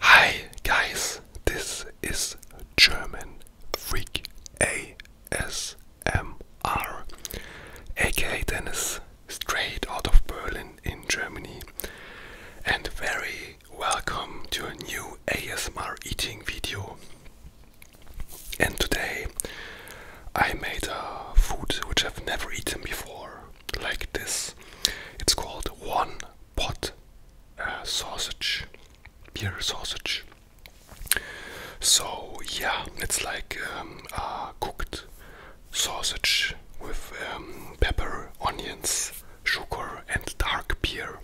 Hi guys, this is German Freak ASMR, aka Dennis, straight out of Berlin in Germany, and very welcome to a new ASMR eating video. And today I made a food which I've never eaten before like this. It's called one pot uh, sausage, beer sausage. So yeah, it's like um, cooked sausage with um, pepper, onions, sugar, and dark beer.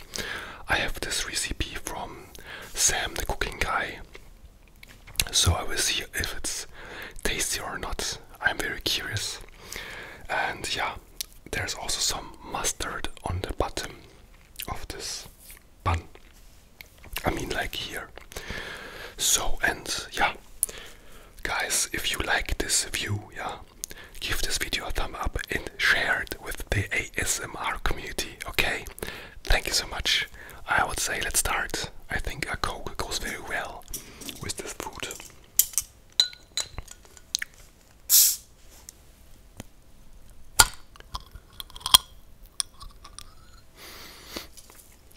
I have this recipe from Sam the cooking guy. So I will see if it's tasty or not. I'm very curious. And yeah, there's also some mustard on the bottom of this bun. I mean, like here. So, and yeah, guys, if you like this view, yeah, give this video a thumb up and share it with the ASMR community, okay? Thank you so much. I would say let's start. I think a Coke goes very well well with the food.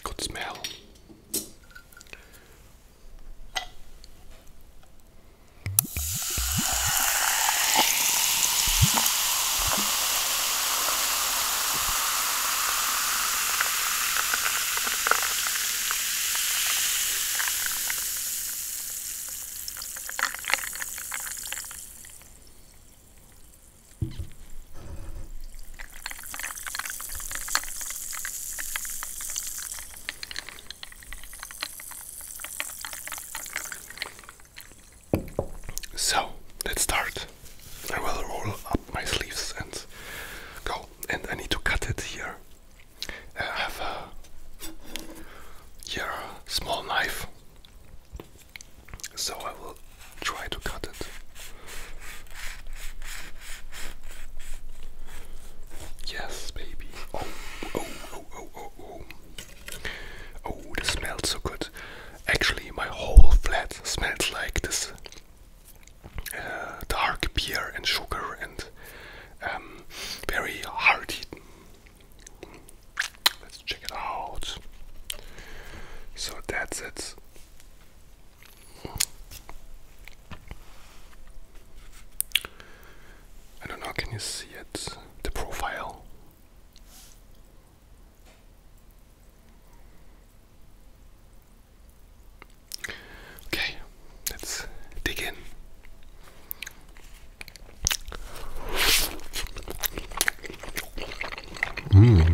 Good smell. So let's start. I will roll up my sleeves and go. And I need to cut it here. I have a here a small knife, so I will try to cut it. Yes, baby. Oh, oh, oh, oh, oh, oh. Oh, this smells so good. Actually, my whole flat smells like this uh, dark beer and sugar and um, very hearty. Let's check it out. So that's it. I don't know, can you see it? The profile. Okay, let's dig in. Mm.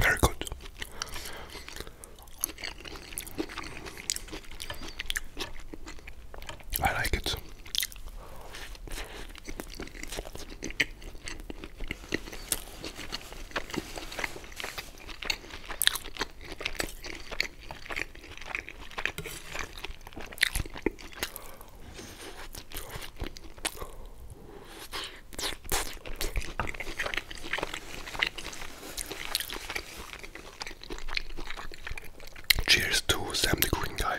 Very good. I like it. Cheers to Sam the Green Guy.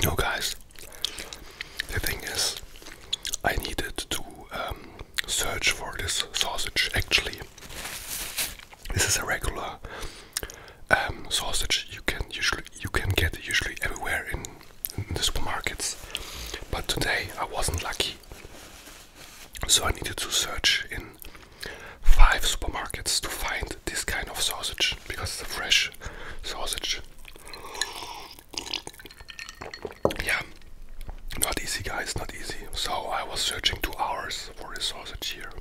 You know, guys, the thing is, I needed to um, search for this sausage actually. This is a regular um, sausage you can usually you can get usually everywhere in, the supermarkets. But today I wasn't lucky, so I needed to search in five supermarkets to find this kind of sausage because it's a fresh sausage. Yeah, not easy, guys, not easy. So I was searching two hours for this sausage here.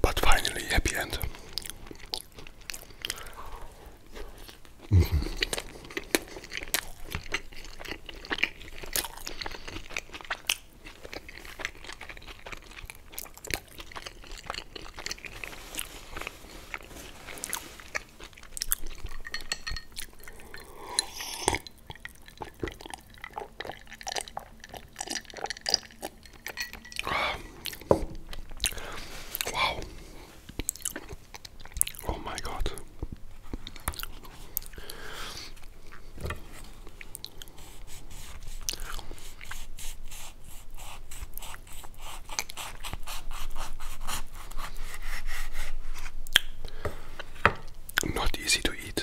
But finally, happy end. Wow. Oh my god. Not easy to eat.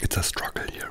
It's a struggle here.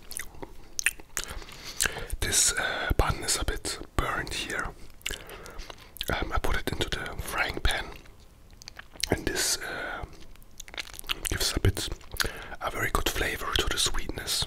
This uh, is a bit burned here. Um, I put it into the frying pan, and this uh, gives a bit a very good flavor to the sweetness.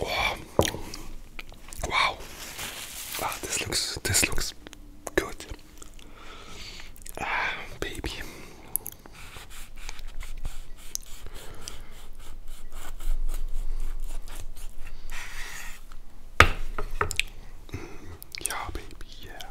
Wow. Wow. Wow, this looks this looks good. Ah, baby. Mm, yeah, baby, yeah.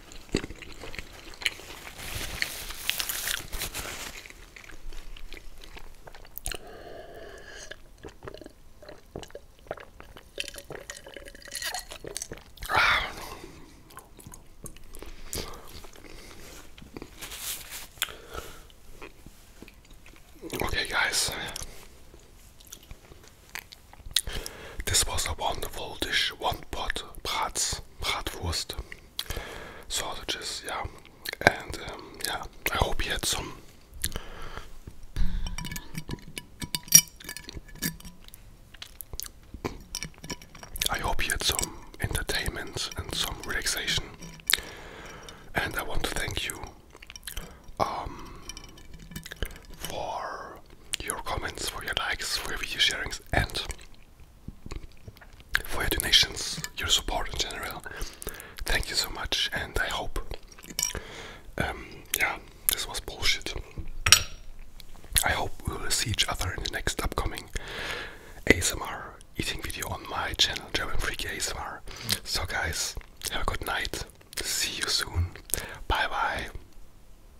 Okay, guys, this was a wonderful dish, one pot brats meat, bratwurst, sausages, yeah. And yeah, um, I hope you had some. I hope you had some entertainment and some relaxation. And I want to thank you um, for your comments, for your likes, for your video sharings, and for your donations, your support in general. Thank you so much, and I hope, um, yeah, this was bullshit. I hope we will see each other in the next upcoming ASMR eating video on my channel, German Freaky ASMR. So, guys, have a good night. See you soon. Bye bye.